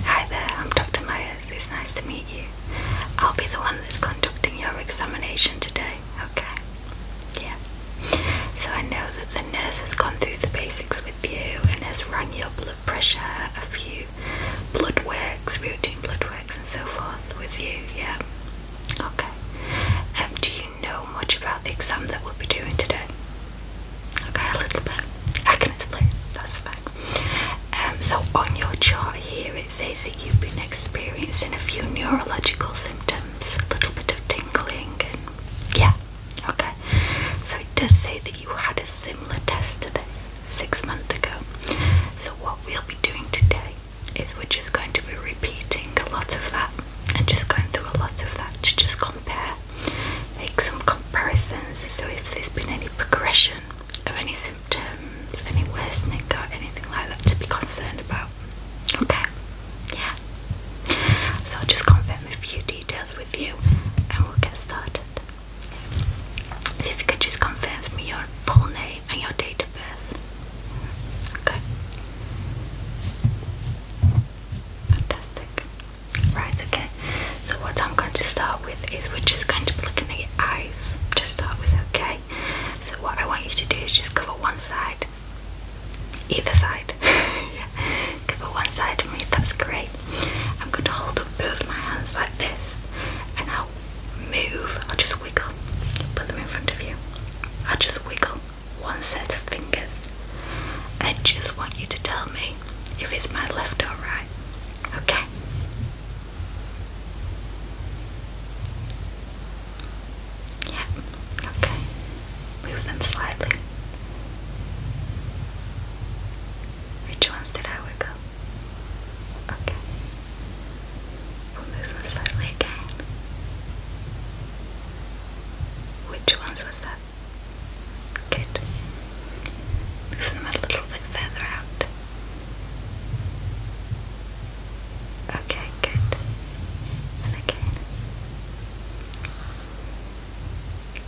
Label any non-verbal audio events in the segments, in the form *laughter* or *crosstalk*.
Hi there, I'm Dr. Myers. It's nice to meet you. I'll be the one that's conducting your examination today, okay? Yeah. So I know that the nurse has gone through the basics with you and has run your blood pressure, a few blood works, routine blood works, and so forth with you, yeah? Okay. Um, do you know much about the exam that we'll be doing today? Okay, a little bit. I can explain. That's fine. Um, so on your chart here, it says that you've been experiencing a few neurological symptoms, a little bit of tingling, and yeah. Okay. So it does say that you had a similar test to this six months ago. So what we'll be doing today is we're just going to be repeating a lot of that and just going through a lot of that to just compare make some comparisons so if there's been any progression of any symptoms, any worsening or anything like that to be concerned about. Okay, yeah. So I'll just confirm a few details with you and we'll get started. See if you could just confirm for me your full name and your date of birth. Okay. Fantastic. Right, okay. So what I'm going to start with is we're just going to be looking at your eyes to start with, okay? So what I want you to do is just cover one side. Either side. *laughs* Cover one side of me, that's great. I'm going to hold up both my hands like this and I'll move, I'll just wiggle. Put them in front of you. I'll just wiggle one set of fingers I just want you to tell me if it's my left or right. Okay? Yeah, okay. Move them slightly. Which ones did I wiggle? Okay. We'll move them slightly again. Which ones was that Good. Move them a little bit further out. Okay, good. And again.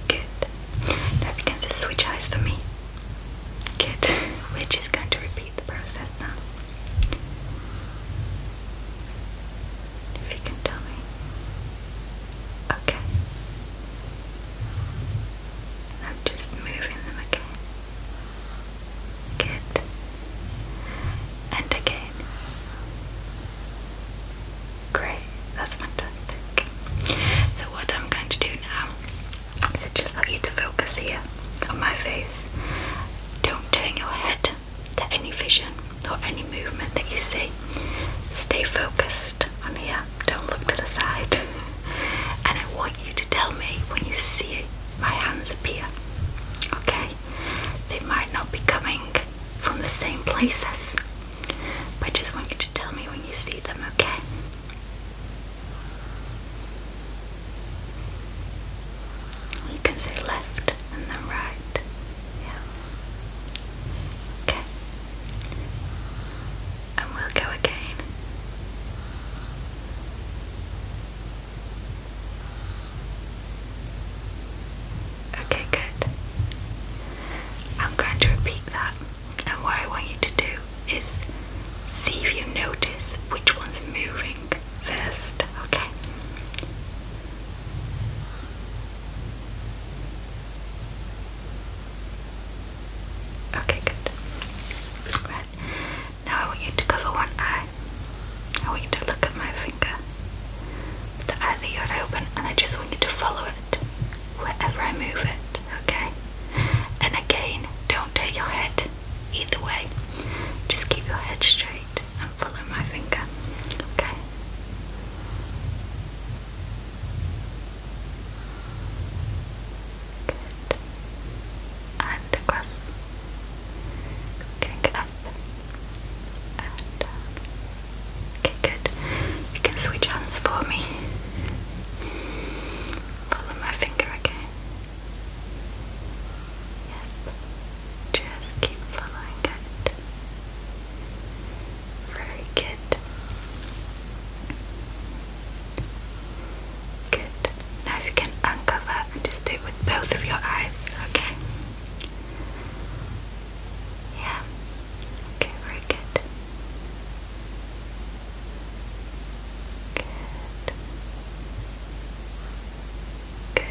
Good. Now if you can just switch eyes for me. Good. *laughs* We're just going to repeat the process now. If you can tell me. Okay. I'm just moving them again. Good. And again. Great, that's fantastic. So what I'm going to do now is just let you to focus here on my face. Don't turn your head to any vision or any movement that you see. Stay focused on here, don't look to the side. *laughs* And I want you to tell me when you see it, my hands appear. Okay? They might not be coming from the same places, but I just want you to tell me when you see them, okay? You can say left and then right. Yeah. Okay. And we'll go again. Okay, good. I'm going to repeat that. And what I want you to do is see if you notice which one's moving first, okay? Okay, good. Right. Now I want you to cover one eye. I want you to look at my finger. The eye open, and I just want you to follow it wherever I move it, okay? And again, don't take your head either way. Just keep your head straight and follow my finger. Okay. Good. And across. Kick up um, Okay, good. You can switch hands for me. Follow my finger again. Yep. Just keep following it. Very good. Good. Now you can uncover and just do it with both of your eyes, okay? Yeah. Okay, very good. Good. Good.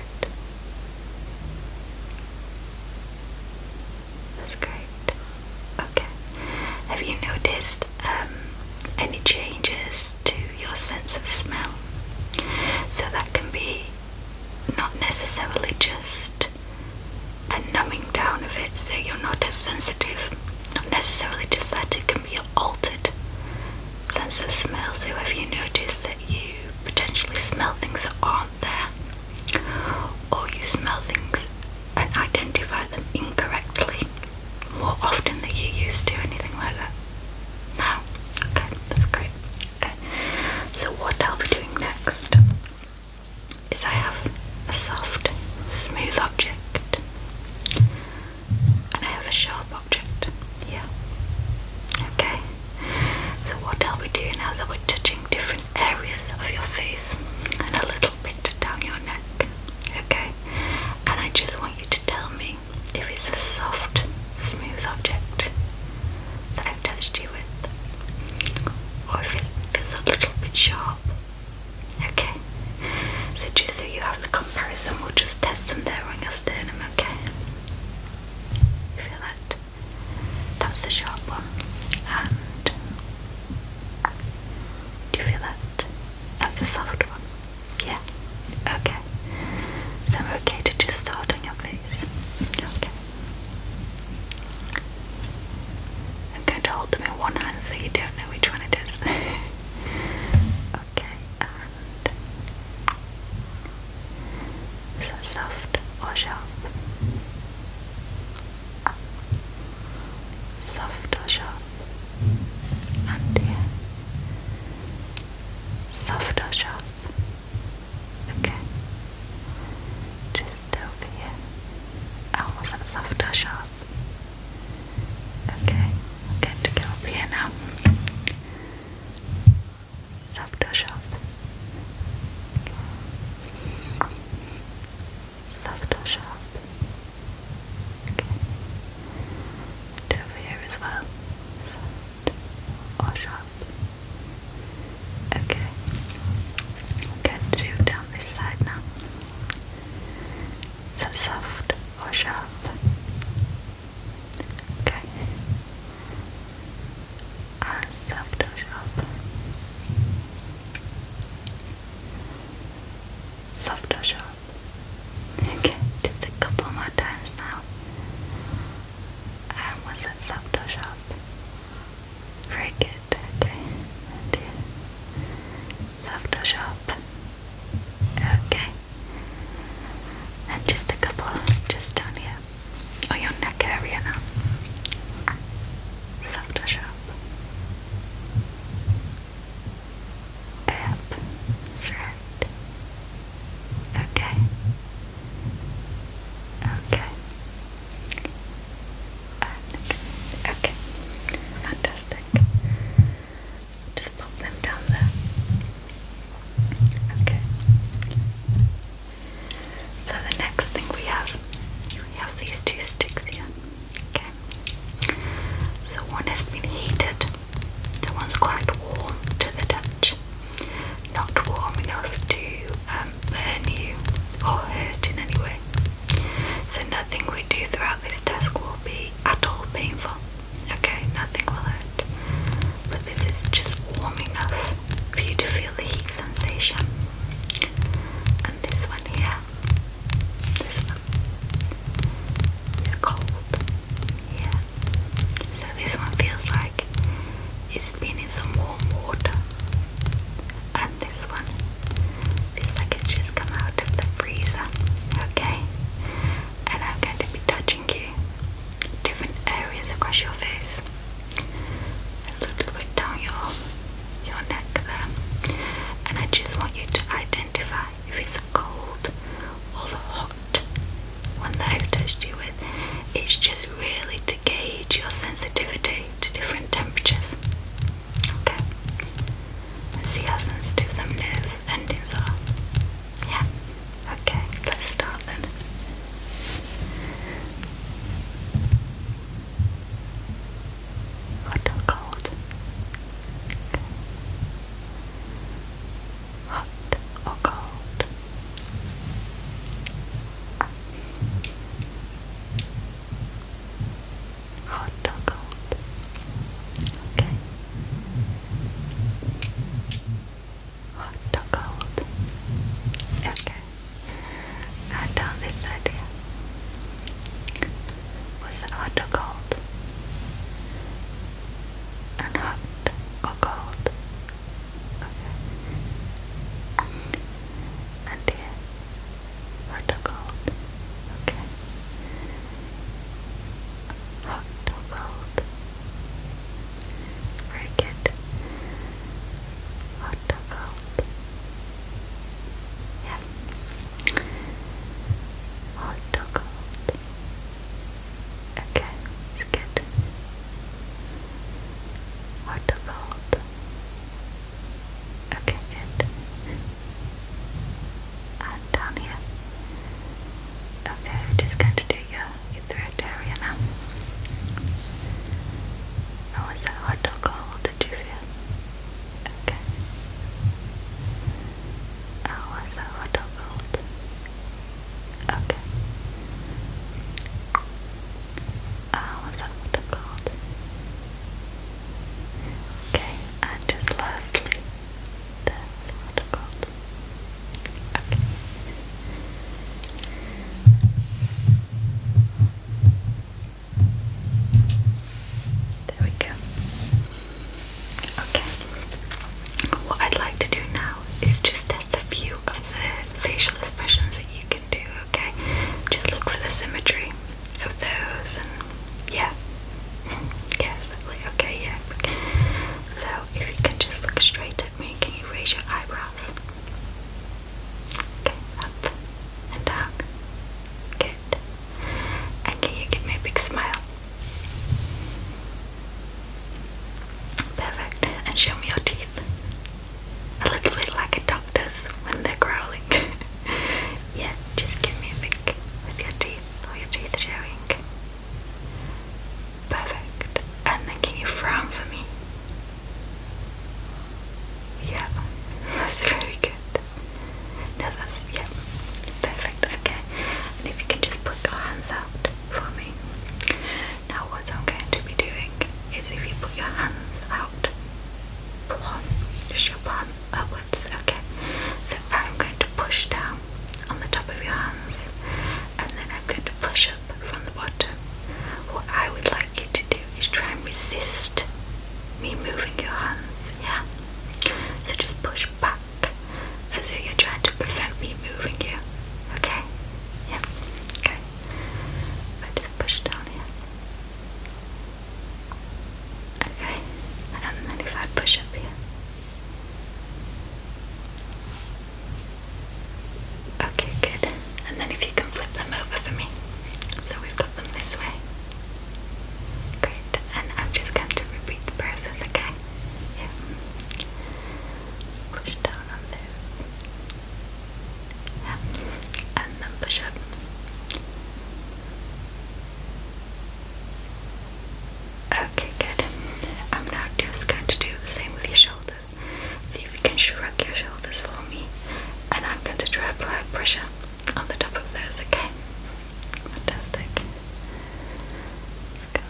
That's great. Okay. Have you noticed um, any changes to your sense of smell? So that can be not necessarily just a numbing down of it, so you're not as sensitive. Not necessarily just that, it can be altered sense of smell. So, if you notice that you potentially smell things that are there, or you smell things and identify them incorrectly more often than you used to, anything like that. No? Okay, that's great. Okay. So what I'll be doing next is I have a soft, smooth object and I have a sharp object. Yeah. Okay. So what I'll be doing now is I'll be touching different areas of your face and a little bit down your neck. Okay? And I just want you to tell me if it's a soft, smooth object that I've touched you with. Or if it feels a little bit sharp. Okay? So just so you have the comparison, we'll just test them there on your sternum, okay? You feel that? That's the sharp one. And do you feel that? That's the soft one. Yeah. Okay. So I'm okay to just start on your face. Okay. I'm going to hold them in one hand so you don't know which one it is. *laughs* okay. Is that soft or sharp? Soft or sharp? And yeah. Soft or sharp? Okay. Just over here. Oh, was that soft or sharp? Okay, I'm going to go up here now. Aftershock. Aftershock. Okay. over here as well. Soft or sharp. Okay. I'm down this side now. So soft or sharp. Okay. And Photoshop. Photoshop. Okay, just a couple more times now. Um, was it Photoshop? Very good, okay. And Photoshop. Okay and just a couple just down here, or oh, your neck area now. Soft or sharp? Up, thread. Okay. Okay. okay. Fantastic. Just pop them down there. Okay. So the next thing we have, we have these two sticks here. Okay. So one has been heated. The one's quite warm to the touch. Not warm enough to um, burn you or hurt in any way. So nothing we do throughout this task will be at all painful. Okay, nothing will hurt. But this is just warm enough for you to feel the heat sensation. And this one here, this one, is cold. Yeah. So this one feels like it's been in some warm water. And this one feels like it's just come out of the freezer. Okay? And I'm going to be touching you different areas across your face. A little bit down your your neck there. And I just want you to identify if it's cold or hot one that have touched you with. It's just really to gauge your sensitivity to different temperatures. Okay. let see how sensitive them nerves endings are. Yeah. Okay, let's start then. Hot or cold? Okay. Hot or cold? Hot or cold? Okay hot or cold. Okay, I done this idea. Was it hot or cold? And hot or cold? Okay. And here, hot or cold? Okay hot or cold. Very Hot or cold. Yeah. Hot or cold. Okay, good. Hot or cold. Okay, good. And down here. Okay, just going to do you go. You through it area now. Um, how was that hot dog all? Did you feel? Okay. How was that hot dog cold? Okay. How was that hot dog cold? Okay, and just lastly, that's what it's called. Okay. There we go. Okay. What I'd like to do now is just test a few of the facial expressions that you can do, okay? Just look for the symmetry of those yeah. *laughs* yes, okay, yeah. So if you can just look straight at me, can you raise your eyebrows? Okay, up and down. Good. And can you give me a big smile? Perfect. And show me your teeth. A little bit like a doctor's when they're growling. *laughs* yeah, just give me a big with your teeth, all your teeth showing. Perfect. And then can you frown for me? Yeah, *laughs* that's really good. No, that's, yeah, perfect, okay. And if you can just put your hands out for me. Now what I'm going to be doing is if you put your hands out, palm, just your palm upwards, okay. So I'm going to push down on the top of your hands, and then I'm going to push up from the bottom. What I would like you to do is try and resist me moving your hands, yeah? So just push back as if you're trying to prevent me moving you, okay? Yeah, okay. I just push down here. Okay, and then if I push up here, Okay, good. And then if you can flip them over for me. So we've got them this way. Great. And I'm just going to repeat the process, okay? Yeah. Push down on those. Yeah. And then push up. Okay, good. I'm now just going to do the same with your shoulders. See if you can shrug your shoulders for me. And I'm going to try to apply pressure on the top of those, okay? Fantastic. Go,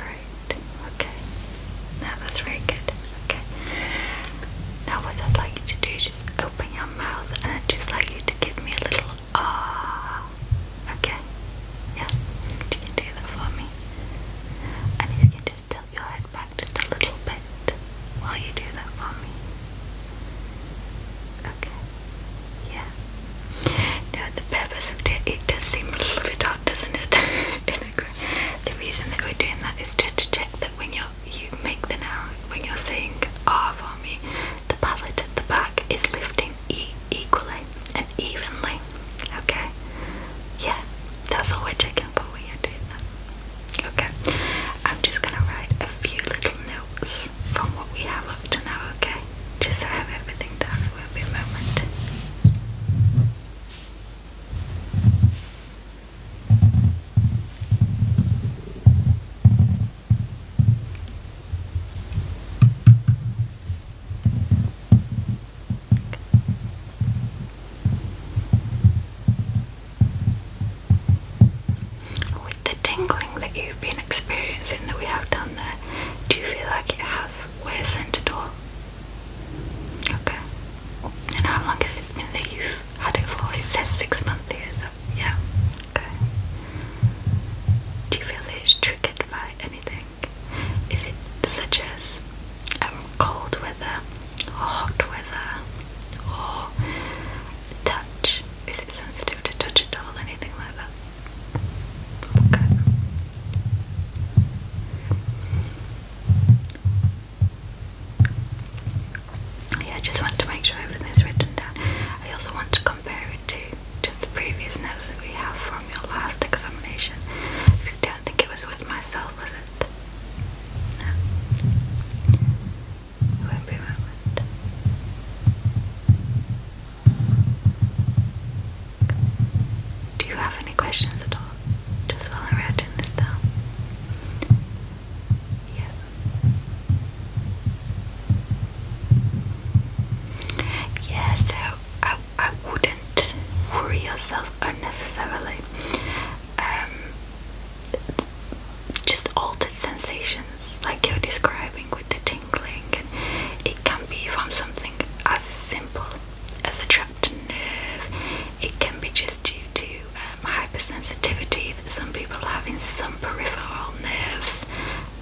Great. Okay. Now that's very good. Okay. Now what I'd like you to do is just open your mouth and I'd just like you to give me a little ah. Okay. Yeah. You can do that for me. And you can just tilt your head back just a little bit while you do that for me. Okay. Yeah. Now the purpose of it, it does seem a little bit odd, doesn't it? *laughs* the reason that we're doing that is just to check that when you you make the noun, when you're saying R for me, the palate at the back is lifting E equally and evenly. Okay? Yeah, that's all we're checking But we are doing that. Okay, I'm just gonna write a few little notes from what we have up to now, okay? Just so I have everything down, for won't be a moment. With the tingling that you've been experiencing that we have done there, do you feel like it has worsened at all? Okay. And how long has it been that have it for? six months yeah. Okay. Do you feel that it's triggered by anything? Is it such as um, cold weather, hot weather, or touch? Is it sensitive to touch at all? Anything like that? Okay. Yeah, I just want to make sure everything's written down. I also want to compare it to just the previous notes that we have from your last examination. Because I don't think it was with myself, was it? No. It won't be a moment. Do you have any questions at all? Just while I'm writing this down. Yeah. Yeah, so I, I wouldn't worry yourself unnecessarily. Um, just altered sensations like you're describing with the tingling, it can be from something as simple as a trapped nerve. It can be just due to um, hypersensitivity that some people have in some peripheral nerves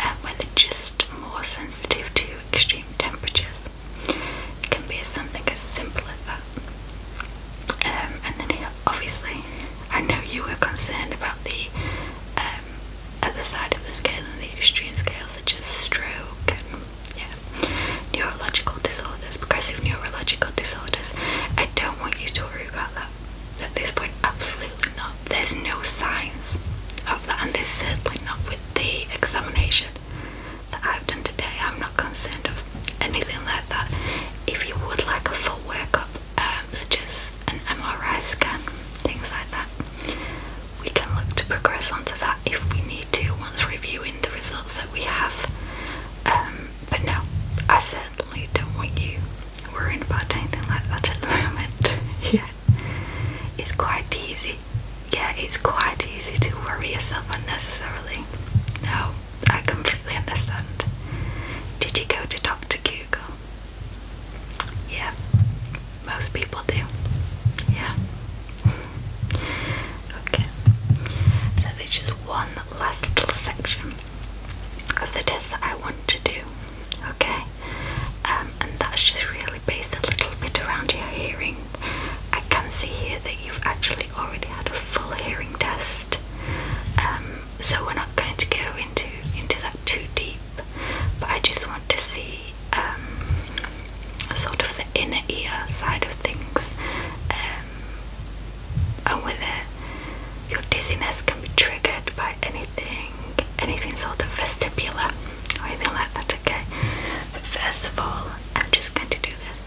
um, uh, where they're just more sensitive to extreme temperatures. It can be something as simple as that. Um, and then obviously, I know you were concerned about the um, other side of the scale and the extreme scales such as stroke yeah, neurological disorders, progressive neurological disorders. I don't want you to worry about that at this point, absolutely not. There's no signs of that, and there's certainly not with the examination that I've done today. I'm not concerned of anything like that. If you would like a full workup, um, such as an MRI scan, things like that, we can look to progress onto that if we need to once reviewing the results that we have. Um, but no, I certainly don't want you worrying about anything like that at the moment. *laughs* yeah, it's quite easy. Yeah, it's quite easy to worry yourself unnecessarily. No, I completely understand. Did you go to Dr. Google? Yeah, most people do. Yeah, okay, so there's just one last little section of the test that I want to do, okay, um, and that's just really based a little bit around your hearing. I can see here that you've actually already had a full hearing test, um, so we're not going to go into into that too deep. But I just want to see um, sort of the inner ear side of things, um, and whether your dizziness can be triggered by anything, anything sort of vestibular or anything like that. Okay, first of all, I'm just going to do this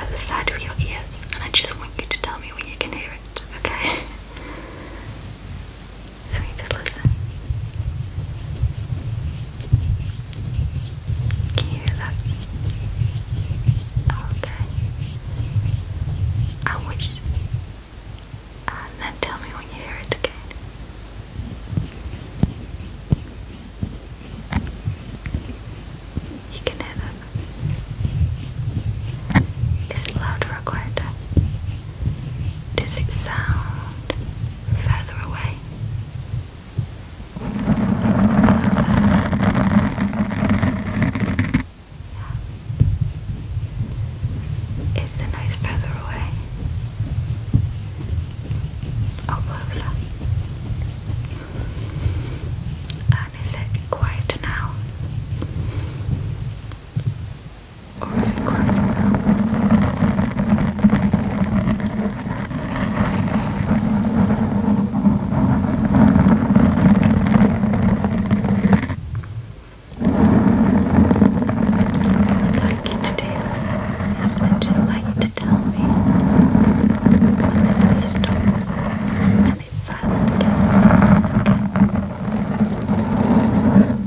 at the side of your ears, and I just want you to tell me when you can hear it. Okay. *laughs* So you can you hear that? Okay. I wish. then tell me when you hear it again. You can hear that. Is it louder or quieter? Does it sound further away it's a nice feather nose further away? Or closer? And is it quieter now? Or is it quite What I'd like you to do would just like you to tell me when there is stop and it's silent again.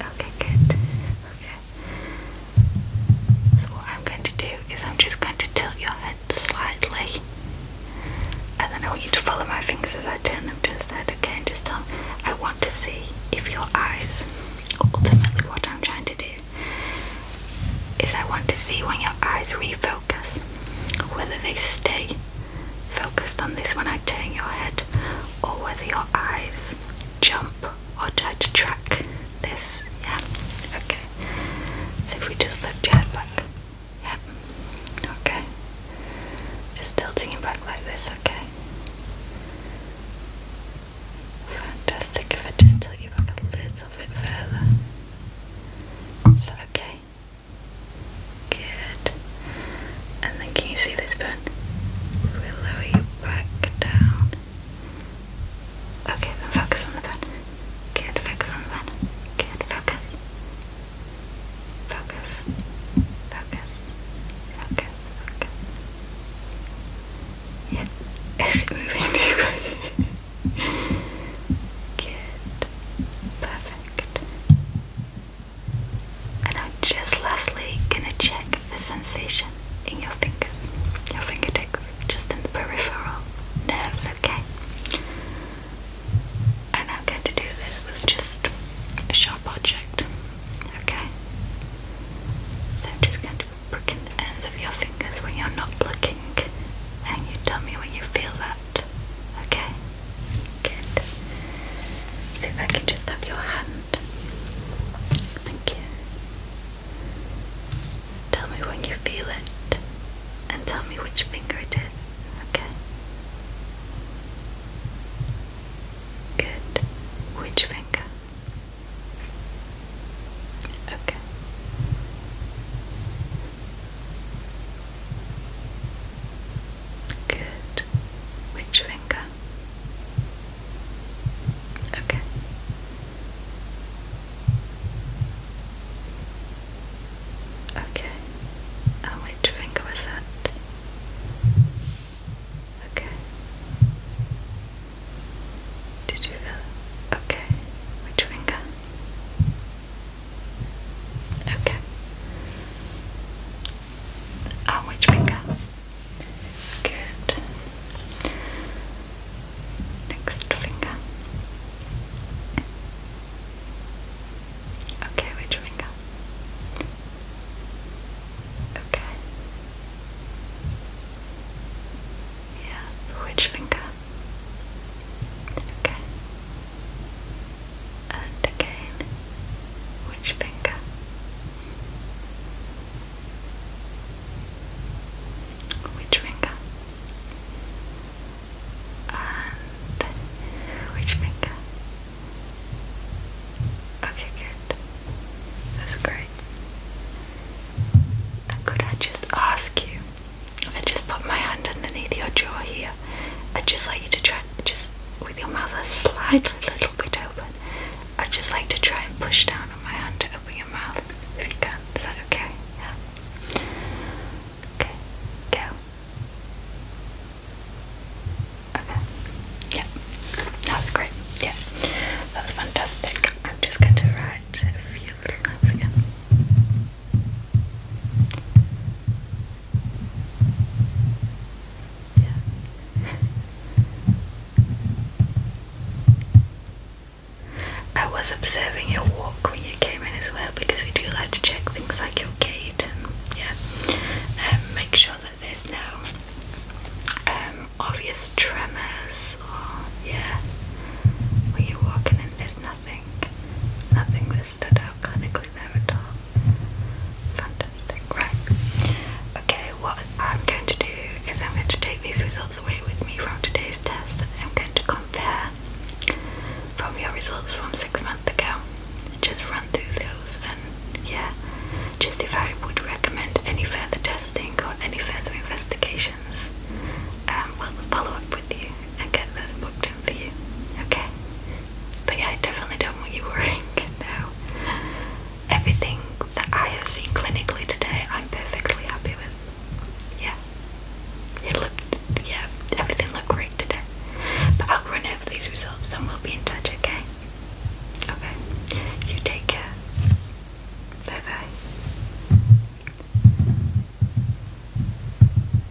Okay, good. Okay. So what I'm going to do is I'm just going to tilt your head slightly. And then I want you to follow my fingers as I turn them to the side, again. just tell I want to see if your eyes, ultimately what I'm trying to do, is I want to see when your eyes refocus, whether they stay focused on this when I turn your head, or whether your eyes jump or try to track this. Yeah, okay. So if we just lift your head back, yeah, okay. Just tilting it back like this, okay. Fantastic. If I just tilt you back a little bit further, is okay? Good. And then can you see this button? we lower you back down. Okay, then focus on the pen. Good, focus on the pen. Good, focus. Focus. Focus. Focus. Focus. Yeah. Is *laughs* it moving Good. Perfect. And I'm just lastly gonna check the sensation in your fingers, your fingertips, just in the peripheral nerves, okay? And I'm going to do this with just a sharp object, okay? So I'm just going to be pricking the ends of your fingers when you're not looking, and you tell me when you feel that, okay? Good. See if I can just have your hand. Thank you. Tell me when you feel it and tell me which finger it is, okay? Good. Which finger? Okay. Good. Which finger? Okay. Okay. And which finger was that? Okay. Did you feel? Okay. Which finger? Okay. On which finger? Good. Next finger. Okay, which finger? Okay. Yeah, which finger? Okay and again, which finger? Which finger? And which finger? Okay, good. That's great. could I just ask you if I just put my hand underneath your jaw here? I'd just like you to try, just with your mouth a slightly little bit open, I'd just like to try and push down on my hand to open your mouth if you can. Is that okay? Yeah. Okay, go. Okay. Yeah. That's great. Yeah. That's fantastic. I'm just going to write a few little notes again. I was observing your walk when you came in as well because we do like to check things like your gait and yeah, um, make sure that there's no um, obvious tremors or yeah, when you're walking in there's nothing, nothing that stood out clinically there at all. Fantastic, right. Okay, what I'm going to do is I'm going to take these results away with me from today's test. I'm going to compare from your results from six months ago. Just run through those and yeah, just if I would recommend any further testing or any further investigations, um, we'll follow up with you and get those booked in for you. Okay? But yeah, I definitely don't want you worrying *laughs* now. Everything that I have seen clinically today, I'm perfectly happy with. Yeah. It looked, yeah, everything looked great today. But I'll run over these results and we'll be in touch, okay? Okay. You take care. Bye bye.